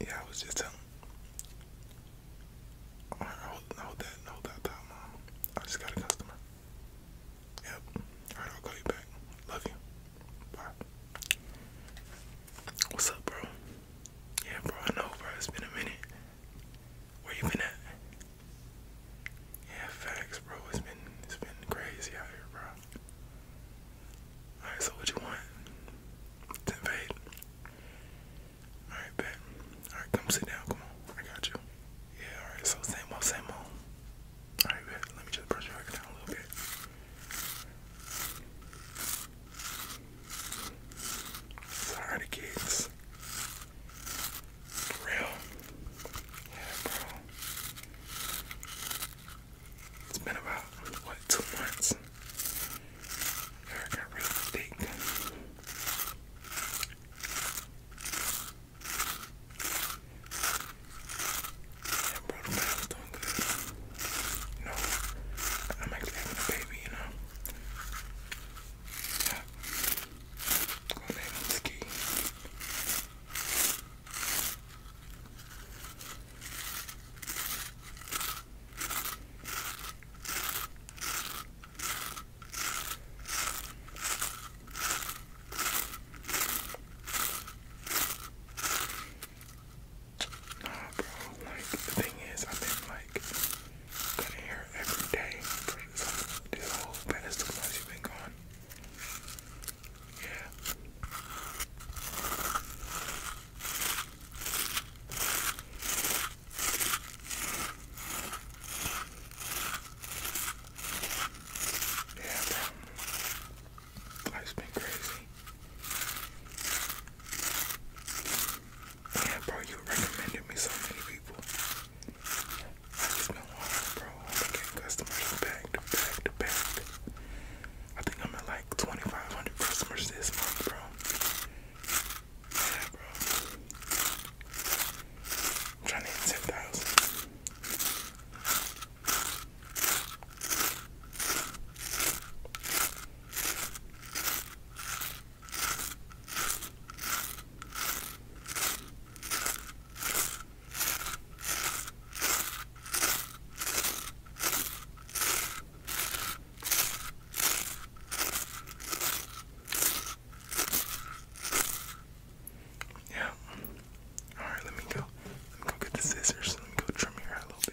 Yeah, I was just telling. Alright, hold, that, hold that thought, mom. I just got a customer. Yep. Alright, I'll call you back. Love you. Bye. What's up, bro? Yeah, bro, I know, bro. It's been a minute. Where you been at? Yeah, facts, bro. It's been it's been crazy out here, bro. Alright, so what you want? To invade? Alright, bet. Alright, come sit down. Come on. I got you. Yeah, alright, so same old, same old. Alright, bet. Let me just brush your hair down a little bit. Sorry, the kids. For real? Yeah, bro. It's been about what two months. Hair got really thick. Yeah, bro, the baby's doing good. You I'm actually having a baby. You know. Yeah. Gonna name him Ski. Nah, bro. Like the thing is, I've been like cutting hair every day for this whole past two months. You've been gone. Yeah, bro. Life's been crazy. Yeah, bro, you recommended me so many people. I just bro. I'm getting customers back to back to back. I think I'm at like 2,500 customers this month, bro. Yeah, bro. I'm trying to hit 10,000. Yeah. All right, let me go. go get the scissors. Let me go trim your hair a little bit.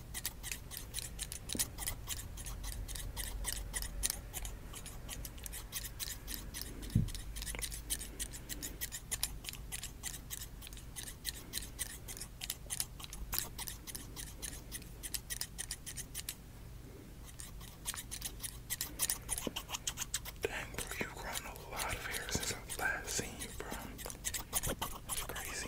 Dang, bro, you've grown a lot of hair since i last seen you, bro. crazy.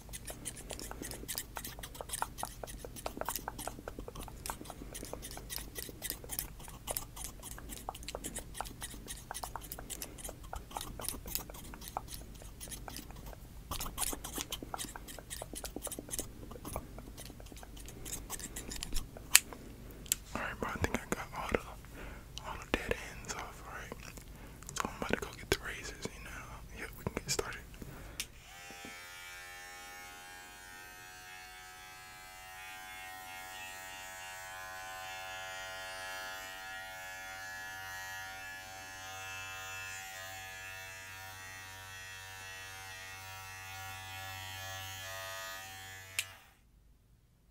Alright, bro, I think I got all the all the dead ends off, alright. I'm about to go get the razors, you know. Yeah, we can get started.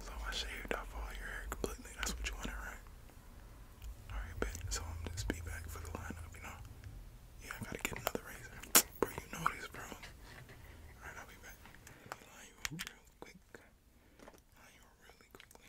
So I shaved off all your hair completely. That's what you wanted, right? Alright, bet. So I'm just be back for the lineup, you know? Yeah, I gotta get another razor. Bro, you know this, bro. Alright, I'll be back. Line you up real quick. Line you really quickly.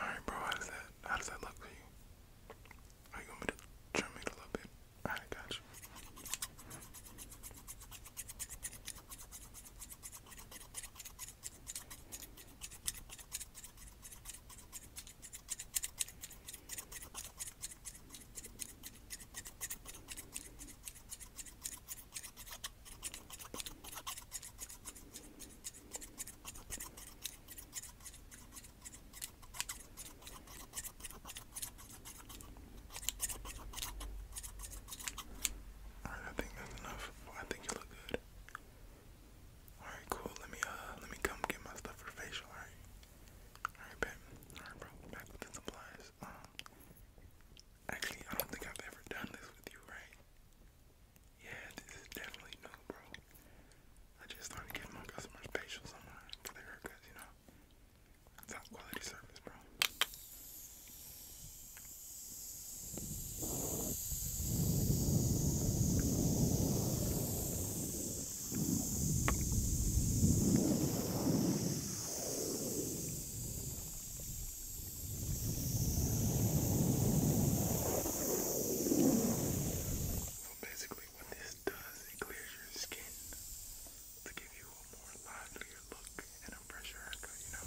All right, bro. How does that? How does that look for you? Are you want to trim it a little bit? I got you. Alright, I think that's enough. I think you look good. Alright, cool. Let me uh let me come get my stuff for facial, alright? Alright, babe. Alright bro, back with the supplies. Um Actually I don't think I've ever done this with you, right? Yeah, this is definitely new, bro. I just started giving my customers facials online for their haircuts, you know. Top quality service, bro basically what this does, it clears your skin to give you a more livelier look and a fresher haircut, you know?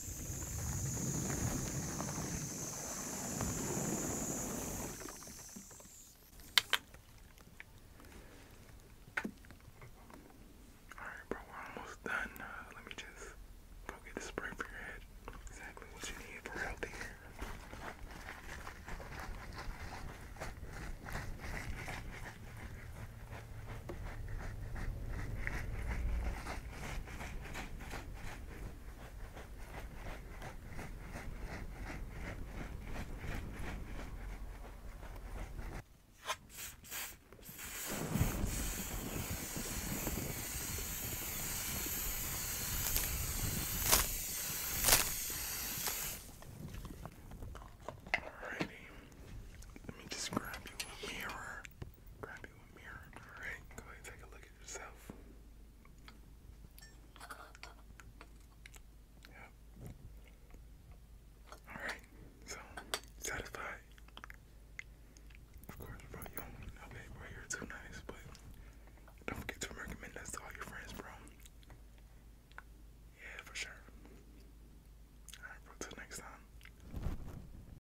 Alright, bro, we're almost done. Uh, let me just go get the spray for your head. Exactly what you need for healthy hair. All Alrighty. Let me just grab you a mirror grab you a mirror. Alright, go ahead take a look at yourself. Yep. Alright, so satisfied. Of course, bro, you don't you're too nice, but don't forget to recommend us to all your friends, bro. Yeah, for sure. Alright, bro, till next time.